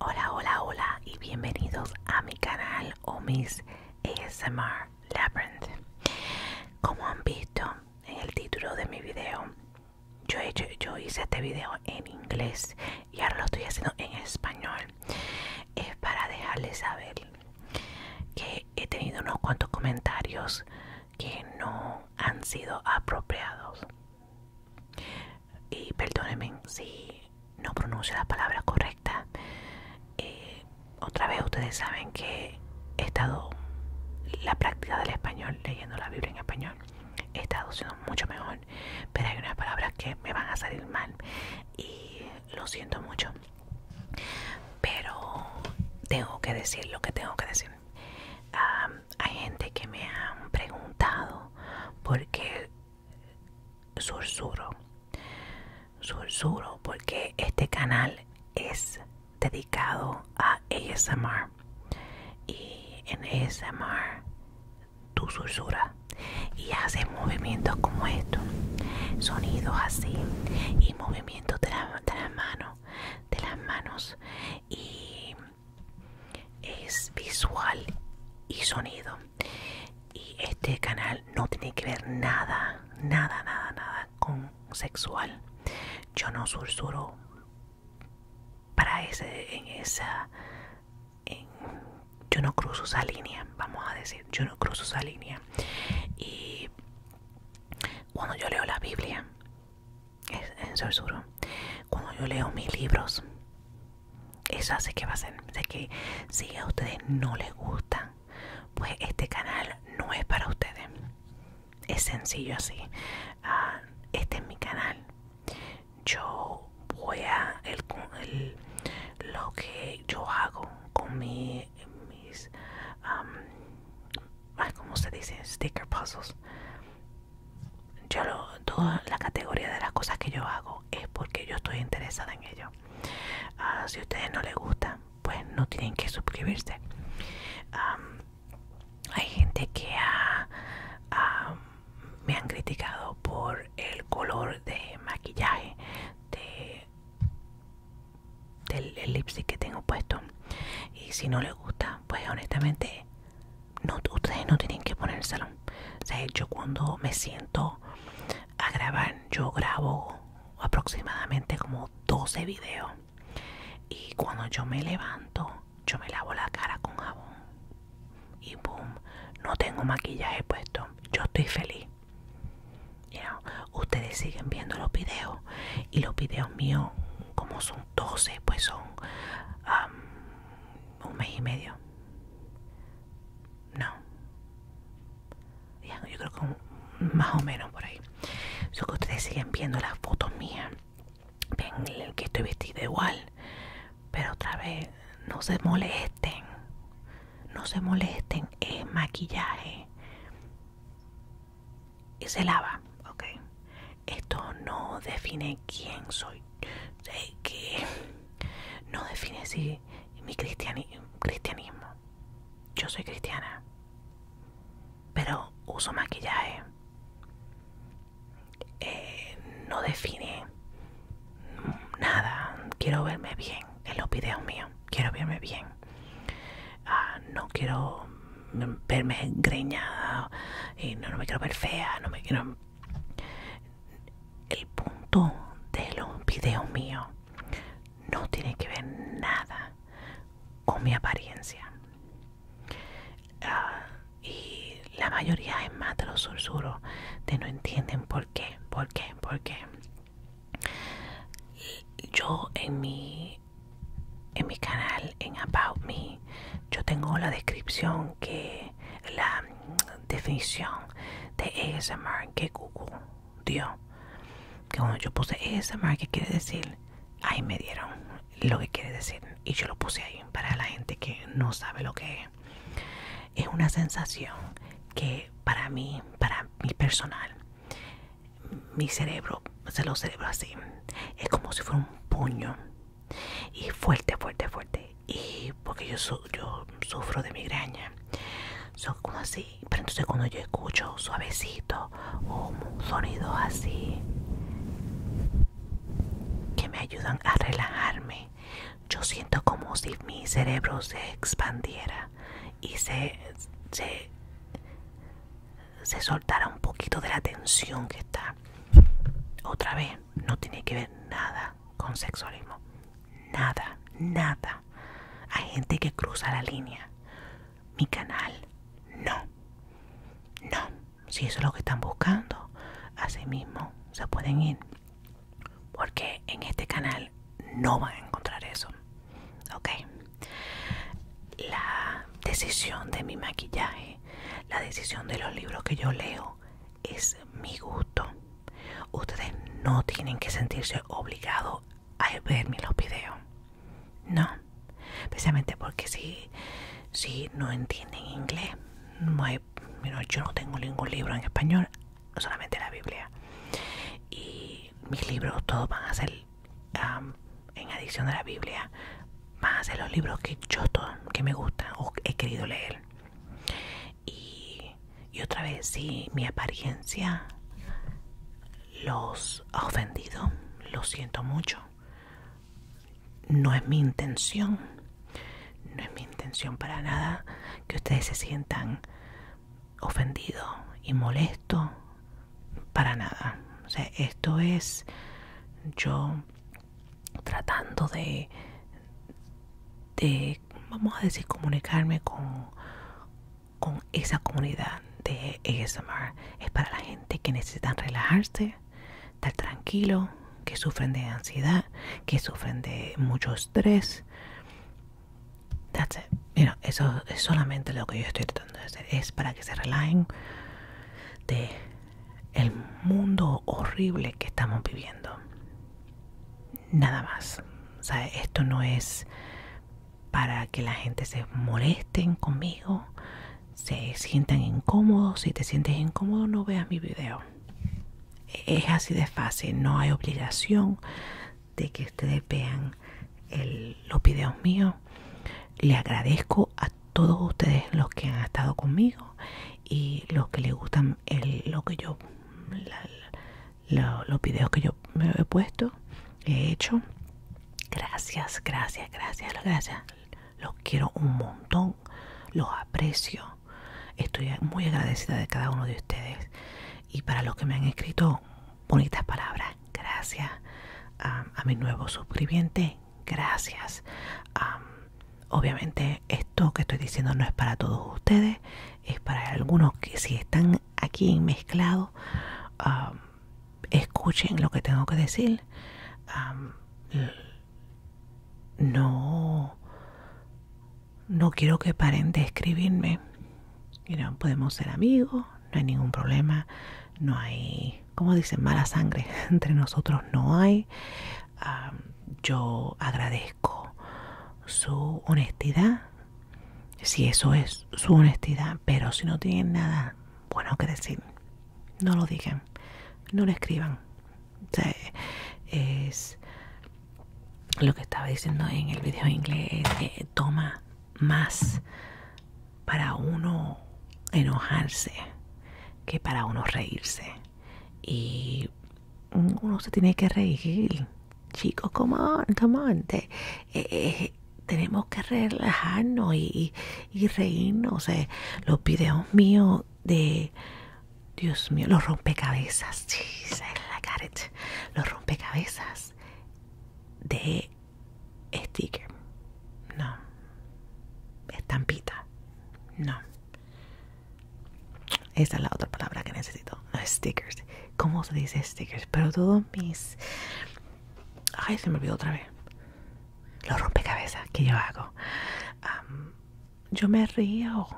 Hola, hola, hola y bienvenidos a mi canal Omis ASMR Labyrinth. Como han visto en el título de mi video, yo, yo hice este video en inglés y ahora lo estoy haciendo en español. Es para dejarles saber que he tenido unos cuantos comentarios que no han sido apropiados y perdónenme si no pronuncio la palabra correcta. Eh, otra vez ustedes saben que he estado la práctica del español, leyendo la Biblia en español, he estado siendo mucho mejor, pero hay unas palabras que me van a salir mal y lo siento mucho. Pero tengo que decir lo que tengo que decir hay gente que me han preguntado por qué sursuro. Sursuro porque este canal es dedicado a ASMR. Y en ASMR tú sursuras. y haces movimientos como estos, sonidos así y movimientos de las manos, de las manos y es visual y sonido y este canal no tiene que ver nada nada nada nada con sexual yo no sursuro para ese en esa en, yo no cruzo esa línea vamos a decir yo no cruzo esa línea y cuando yo leo la biblia es en susurro cuando yo leo mis libros eso hace que va a ser que si a ustedes no les gusta pues este canal no es para ustedes es sencillo así ah, este es mi canal yo voy a el, lo que yo hago con mis um, como se dice sticker puzzles yo toda la categoría de las cosas que yo hago es porque yo estoy interesada en ello. Ah, si a ustedes no les gusta, pues no tienen que suscribirse. hay gente que me han criticado por el color de maquillaje de, del lipstick que tengo puesto. Y si no les gusta, pues honestamente no, ustedes no tienen que ponérselo. O sea, yo cuando me siento a grabar, yo grabo aproximadamente como 12 videos. Y cuando yo me levanto, yo me lavo la cara con jabón. Y boom, no tengo maquillaje puesto. Yo estoy feliz. ustedes siguen viendo los videos. Y los videos míos, como son 12, pues son um, un mes y medio. No. yo creo que más o menos por ahí. Yo que ustedes siguen viendo las fotos mías. Ven que estoy vestida igual. Pero otra vez, no se molesten. No se molesten. Es maquillaje. Y se lava, ok. Esto no define quién soy, que no define si mi cristianismo. Yo soy cristiana, pero uso maquillaje. Eh, no define nada. Quiero verme bien en los videos míos. Quiero verme bien. Ah, no quiero verme engreñada Y no, me quiero ver fea. No me quiero el punto de los videos míos no tiene que ver nada con mi apariencia. Ah, y la mayoría es más de los susurros de no entienden por qué, por qué, por qué. Yo en mi, en mi canal, en About Me, yo tengo la descripción que la mm, definición de marca que Google dio. Que cuando yo puse ASMR, que quiere decir? Ahí me dieron lo que quiere decir. Y yo lo puse ahí para la gente que no sabe lo que es. Es una sensación que para mí, para mi personal, mi cerebro se lo cerebro así. Es como si fuera un puño y fuerte, fuerte, fuerte. Y porque yo, yo sufro de migraña, son como así. Pero entonces, cuando yo escucho suavecito o sonidos así que me ayudan a relajarme, yo siento como si mi cerebro se expandiera y se, se, se soltara un poquito de la tensión que está. Otra vez, no tiene que ver nada con sexualismo. Nada, nada. Hay gente que cruza la línea. Mi canal, no. No. Si eso es lo que están buscando, así mismo se pueden ir. Porque en este canal no van a encontrar eso. Ok. La decisión de mi maquillaje, la decisión de los libros que yo leo, es mi gusto. Ustedes no tienen que sentirse obligados a verme los videos. No. Especialmente porque si, no entienden inglés, no yo no tengo ningún libro en español, solamente la Biblia. Y mis libros todos van a ser, en adición de la Biblia, van a ser los libros que yo que me gusta o he querido leer. Y, otra vez, si mi apariencia los ha ofendido, lo siento mucho. No es mi intención, no es mi intención para nada que ustedes se sientan ofendidos y molestos para nada. O sea, esto es yo tratando de, de vamos a decir, comunicarme con, con esa comunidad de ASMR. Es para la gente que necesitan relajarse, estar tranquilo, que sufren de ansiedad, que sufren de mucho estrés. That's it. eso es solamente lo que yo estoy tratando de hacer. Es para que se relajen de el mundo horrible que estamos viviendo. Nada más. esto no es para que la gente se molesten conmigo, se sientan incómodos. Si te sientes incómodo, no veas mi video. Es así de fácil, no hay obligación de que ustedes vean los videos míos. Le agradezco a todos ustedes los que han estado conmigo y los que le gustan lo que yo los videos que yo me he puesto he hecho gracias gracias gracias gracias los quiero un montón los aprecio estoy muy agradecida de cada uno de ustedes y para los que me han escrito bonitas palabras gracias a, mi nuevo suscribiente gracias. obviamente esto que estoy diciendo no es para todos ustedes, es para algunos que si están aquí mezclados, escuchen lo que tengo que decir. no, no quiero que paren de escribirme. podemos ser amigos, no hay ningún problema, no hay, como dicen, mala sangre entre nosotros, no hay yo agradezco su honestidad, si eso es su honestidad, pero si no tienen nada bueno que decir, no lo digan, no lo escriban. es lo que estaba diciendo en el video en inglés, toma más para uno enojarse que para uno reírse y uno se tiene que reír. Chicos, como on, eh, eh, tenemos que relajarnos y, y, reírnos. Eh, los videos míos de... Dios mío, los rompecabezas. I got Los rompecabezas de sticker. No. Estampita. No. Esta es la otra palabra que necesito. Stickers. ¿Cómo se dice stickers? Pero todos mis... Ay, se me olvidó otra vez. Los rompecabezas que yo hago. yo me río. O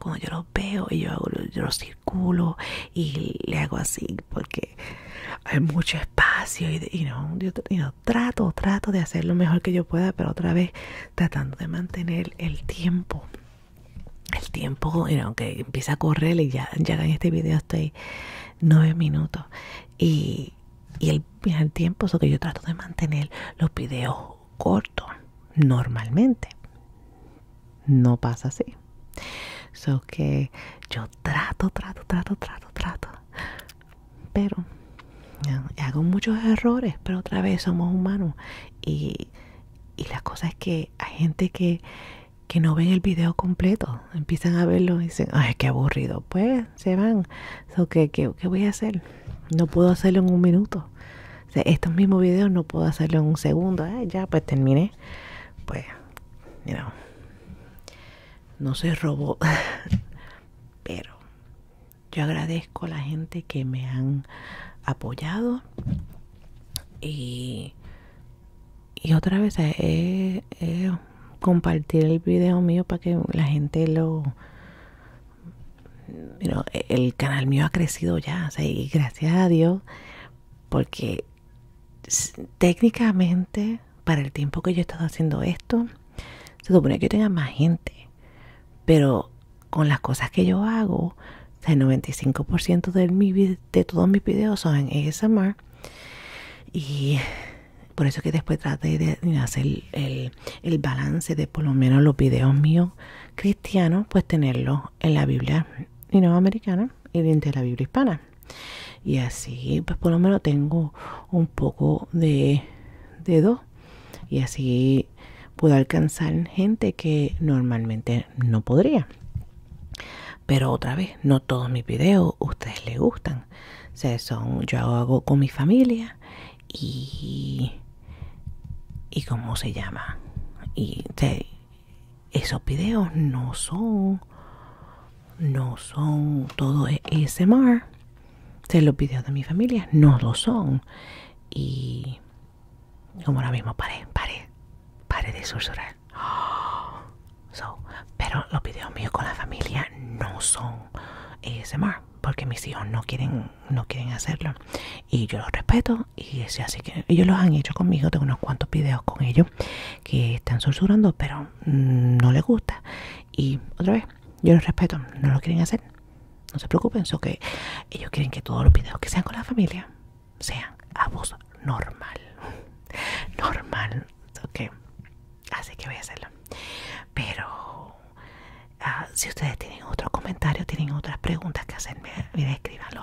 cuando yo los veo y yo, hago, los circulo y le hago así porque hay mucho espacio y, no, yo, trato, trato de hacer lo mejor que yo pueda, pero otra vez tratando de mantener el tiempo. El tiempo, you que empieza a correr y ya, ya en este video estoy nueve minutos. Y, el, tiempo, eso que yo trato de mantener los videos cortos normalmente. No pasa así. So que yo trato, trato, trato, trato, trato pero hago muchos errores, pero otra vez somos humanos. Y, y la cosa es que hay gente que, que no ven el video completo, empiezan a verlo y dicen, ay, qué aburrido. Pues se van. qué, ¿Qué voy a hacer? No puedo hacerlo en un minuto. estos mismos videos no puedo hacerlo en un segundo. Ah, ya, pues terminé. Pues, you no se robó pero yo agradezco a la gente que me han apoyado y, y otra vez he compartir el video mío para que la gente lo e, el canal mío ha crecido ya, y gracias a Dios, porque técnicamente para el tiempo que yo he estado haciendo esto, se supone que yo tenga más gente, pero con las cosas que yo hago, el 95% de, de todos mis videos son en mar, Y por eso que después traté de hacer el, balance de por lo menos los videos míos cristianos, pues tenerlos en la Biblia y americana y dentro de la Biblia hispana. Y así, pues por lo menos tengo un poco de, de dos. Y así pudo alcanzar gente que normalmente no podría. Pero otra vez, no todos mis videos ustedes les gustan. se son, yo hago con mi familia y... ¿Y cómo se llama? Y esos videos no son... No son todo ese mar los videos de mi familia no lo son. Y como ahora mismo, pare paré, paré de susurrar. pero los videos míos con la familia no son ASMR porque mis hijos no quieren, no quieren hacerlo. Y yo los respeto y así que ellos los han hecho conmigo. Tengo unos cuantos videos con ellos que están susurrando, pero no les gusta. Y otra vez, yo los respeto, no lo quieren hacer no se preocupen, eso que ellos quieren que todos los videos que sean con la familia sean a voz normal. Normal, ok. Así que voy a hacerlo. Pero ah, si ustedes tienen otros comentarios, tienen otras preguntas que hacerme, escribanlo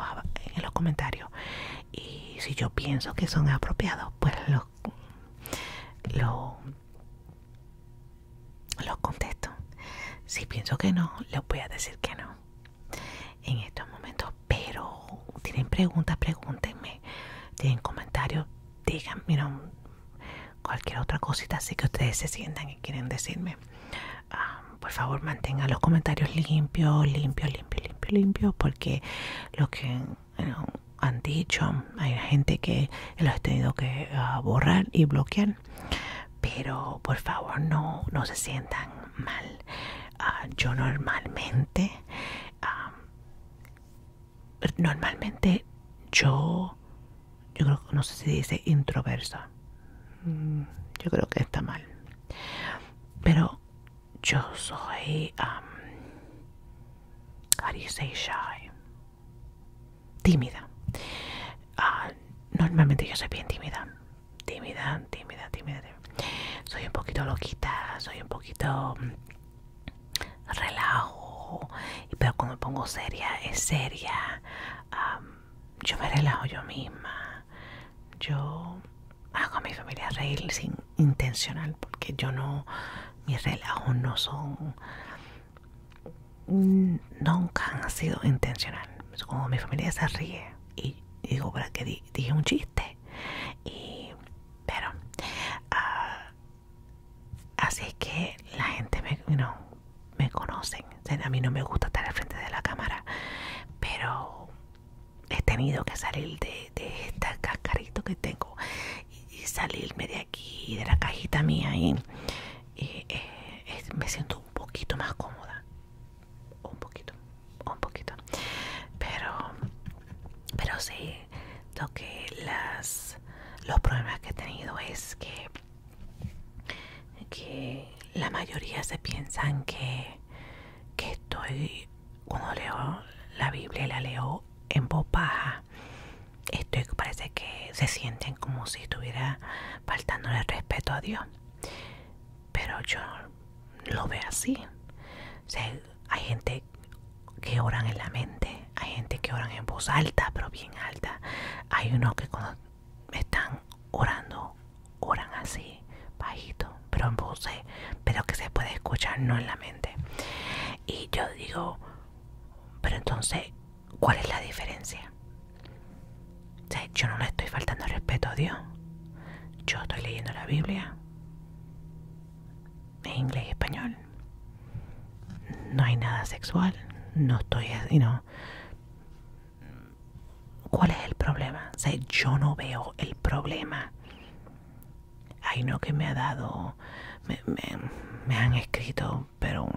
en los comentarios. Y si yo pienso que son apropiados, pues los lo los contesto. Si pienso que no, les voy a decir que no en estos momentos. Pero tienen preguntas, pregúntenme. Tienen comentarios, digan, cualquier otra cosita así que ustedes se sientan y quieren decirme. Ah, por favor, mantengan los comentarios limpios, limpios, limpios, limpios, limpios, porque lo que han dicho, hay gente que los he tenido que ah, borrar y bloquear pero por favor no, no se sientan mal. Ah, yo normalmente, ah, normalmente yo, yo creo, que no sé si dice introversa mm, yo creo que está mal, pero yo soy, um, how do you say shy? tímida. Ah, normalmente yo soy bien tímida. Tímida, tímida, tímida, Soy un poquito loquita, soy un poquito mm, relajo, pero cuando pongo seria, es seria. yo me relajo yo misma. Yo hago a mi familia reír sin intencional, porque yo no, mis relajos no son Mm, nunca ha sido intencional. Como mi familia se ríe y, digo, ¿para que dije un chiste? Y, pero, ah, así es que la gente me, no, me conocen. a mí no me gusta estar al frente de la cámara, pero he tenido que salir de, de este cascarito que tengo y salirme de aquí, de la cajita mía y y eh, me siento un poquito más cómoda un poquito un poquito pero pero sí lo que las los problemas que he tenido es que que la mayoría se piensan que que estoy cuando leo la Biblia la leo en voz baja esto parece que se sienten como si estuviera faltando el respeto a Dios. Pero yo lo veo así. hay gente que oran en la mente, hay gente que oran en voz alta, pero bien alta. Hay unos que cuando están orando, oran así, bajito, pero en voz, pero que se puede escuchar, no en la mente. Y yo digo, pero entonces ¿Cuál es la diferencia? sea, yo no le estoy faltando respeto a Dios. Yo estoy leyendo la Biblia en inglés y español. No hay nada sexual. No estoy, you ¿Cuál es el problema? sea, yo no veo el problema. Hay no, que me ha dado. Me, me han escrito, pero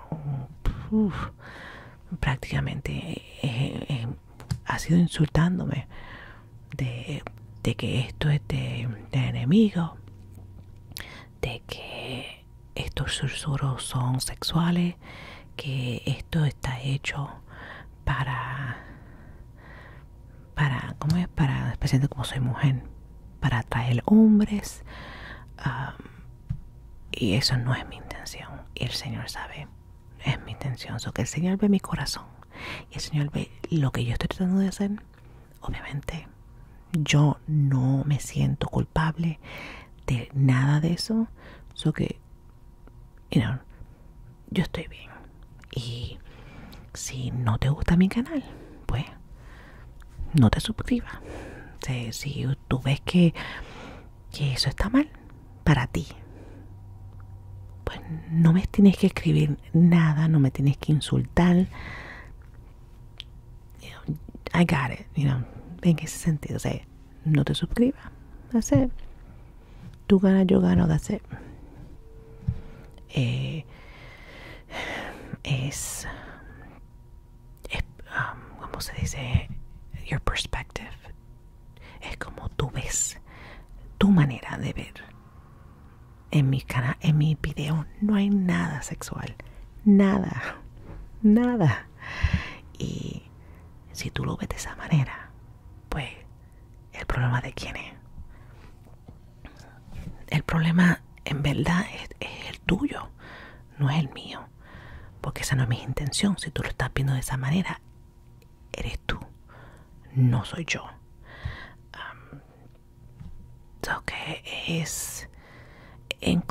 prácticamente eh, eh, ha sido insultándome de, que esto es de, enemigo, de que estos susurros son sexuales, que esto está hecho para para cómo es para especialmente como soy mujer para atraer hombres um, y eso no es mi intención. Y el Señor sabe, es mi intención. So que el Señor ve mi corazón. Y el Señor ve lo que yo estoy tratando de hacer. Obviamente, yo no me siento culpable de nada de eso. solo que, you know, yo estoy bien. Y si no te gusta mi canal, pues no te suscribas. si tú ves que que eso está mal para ti. Pues no me tienes que escribir nada, no me tienes que insultar. I got it, you know, en ese sentido, o no te suscribas, that's it. Tú ganas, yo gano, de it. Eh, es es, um, ¿cómo se dice? Your perspective. Es como tú ves tu manera de ver. En mi canal, en mi video no hay nada sexual. Nada. Nada. Y si tú lo ves de esa manera, pues el problema de quién es. El problema en verdad es el tuyo, no es el mío porque esa no es mi intención. Si tú lo estás viendo de esa manera, eres tú, no soy yo. Um, es, en,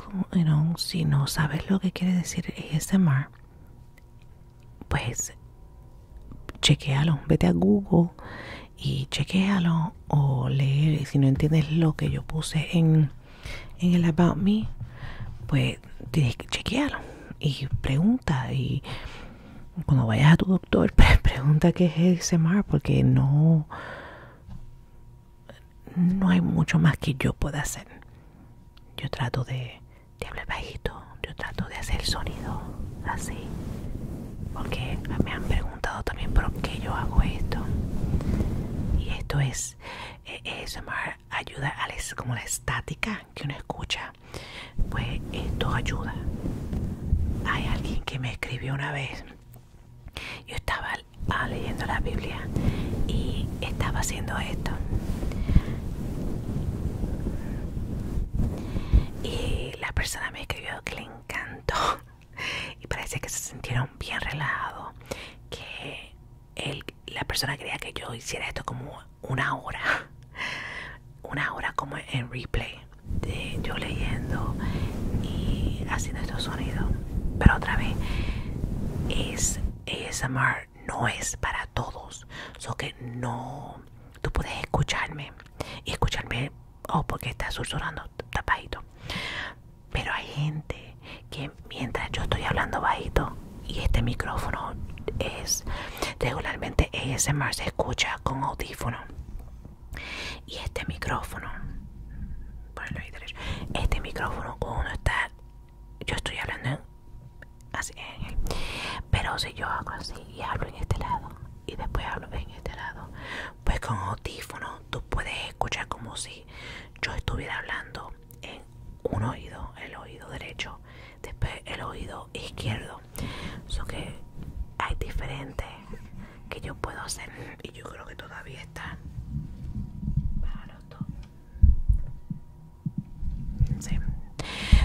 si no sabes lo que quiere decir SMR, pues chequealo, vete a Google y chequealo o leer. si no entiendes lo que yo puse en en el About Me, pues tienes que chequearlo y pregunta. Y cuando vayas a tu doctor, pregunta qué es mar porque no, no hay mucho más que yo pueda hacer. Yo trato de, hablar bajito, yo trato de hacer sonido así, porque me han preguntado también por qué yo hago esto. Y esto es mar ayuda, a como la estática que uno escucha. Pues esto ayuda. Hay alguien que me escribió una vez. Yo estaba ah, leyendo la Biblia y estaba haciendo esto. Y la persona me escribió que le encantó. Y parece que se sintieron bien relajados. Que la persona quería que yo hiciera esto como una hora, una hora como en replay, de yo leyendo y haciendo estos sonidos. Pero otra vez, es ASMR, no es para todos. So que no, tú puedes escucharme y escucharme, o oh, porque estás susurrando tapadito. Pero hay gente que mientras yo estoy hablando bajito y este micrófono es regularmente más se escucha con audífono y este micrófono este micrófono cuando uno está yo estoy hablando así en él pero si yo hago así y hablo en este lado y después hablo en este lado pues con audífono tú puedes escuchar como si yo estuviera hablando en un oído, el oído derecho, después el oído izquierdo. So que hay diferentes que yo puedo hacer y yo creo que todavía está. Sí.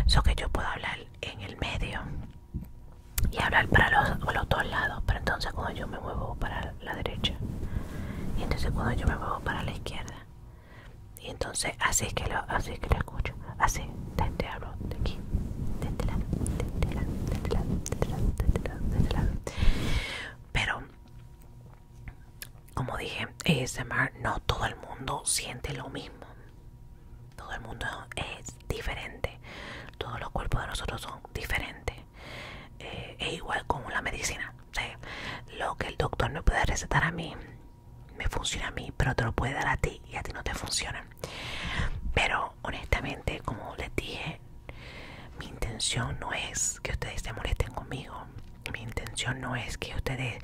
sea que yo puedo hablar en el medio y hablar para los dos lados, pero entonces cuando yo me muevo para la derecha y entonces cuando yo me muevo para la izquierda y entonces así es que lo, así que escucho. Así, te, este de aquí, de este lado, de este lado, de este lado, este este lado, Pero, como dije, ASMR no todo el mundo siente lo mismo. Todo el mundo es diferente. Todos los cuerpos de nosotros son diferentes. Eh, es igual como la medicina lo que el doctor me puede recetar a mí me funciona a mí pero te lo puede dar a ti y a ti no te funciona pero honestamente como les dije mi intención no es que ustedes se molesten conmigo mi intención no es que ustedes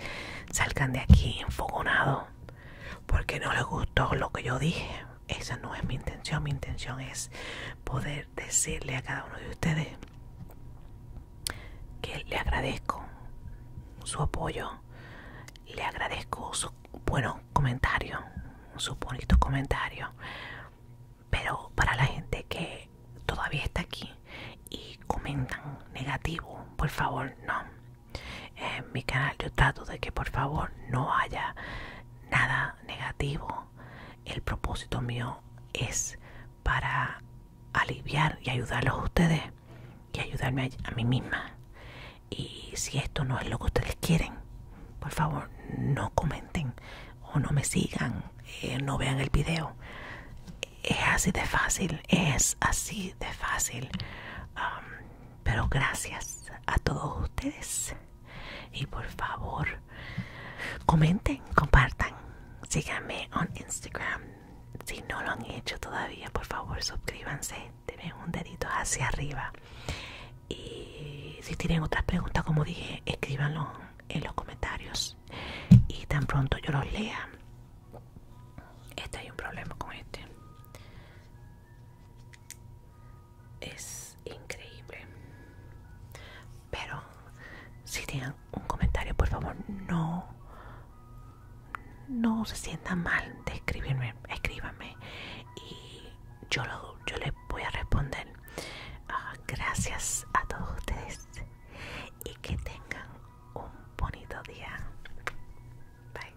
salgan de aquí enfogonado porque no les gustó lo que yo dije esa no es mi intención mi intención es poder decirle a cada uno de ustedes que le agradezco su apoyo, le agradezco sus buenos comentarios, sus bonitos comentarios, pero para la gente que todavía está aquí y comentan negativo, por favor, no. En mi canal yo trato de que por favor no haya nada negativo. El propósito mío es para aliviar y ayudarlos a ustedes y ayudarme a, mí misma. Y si esto no es lo que ustedes quieren, por favor no comenten o no me sigan, eh, no vean el video. Es así de fácil, es así de fácil. Um, pero gracias a todos ustedes. Y por favor, Comenten, compartan, síganme on Instagram. Si no lo han hecho todavía, por favor suscríbanse, denme un dedito hacia arriba. Y si tienen otras preguntas, como dije, escríbanlo en los comentarios. Y tan pronto yo los lea. Este hay un problema con este. Es increíble. Pero si tienen un comentario, por favor, no, no se sientan mal de escribirme, escríbanme y yo, lo, yo les voy a responder. Ah, gracias a todos ustedes y que tengan un bonito día. Bye.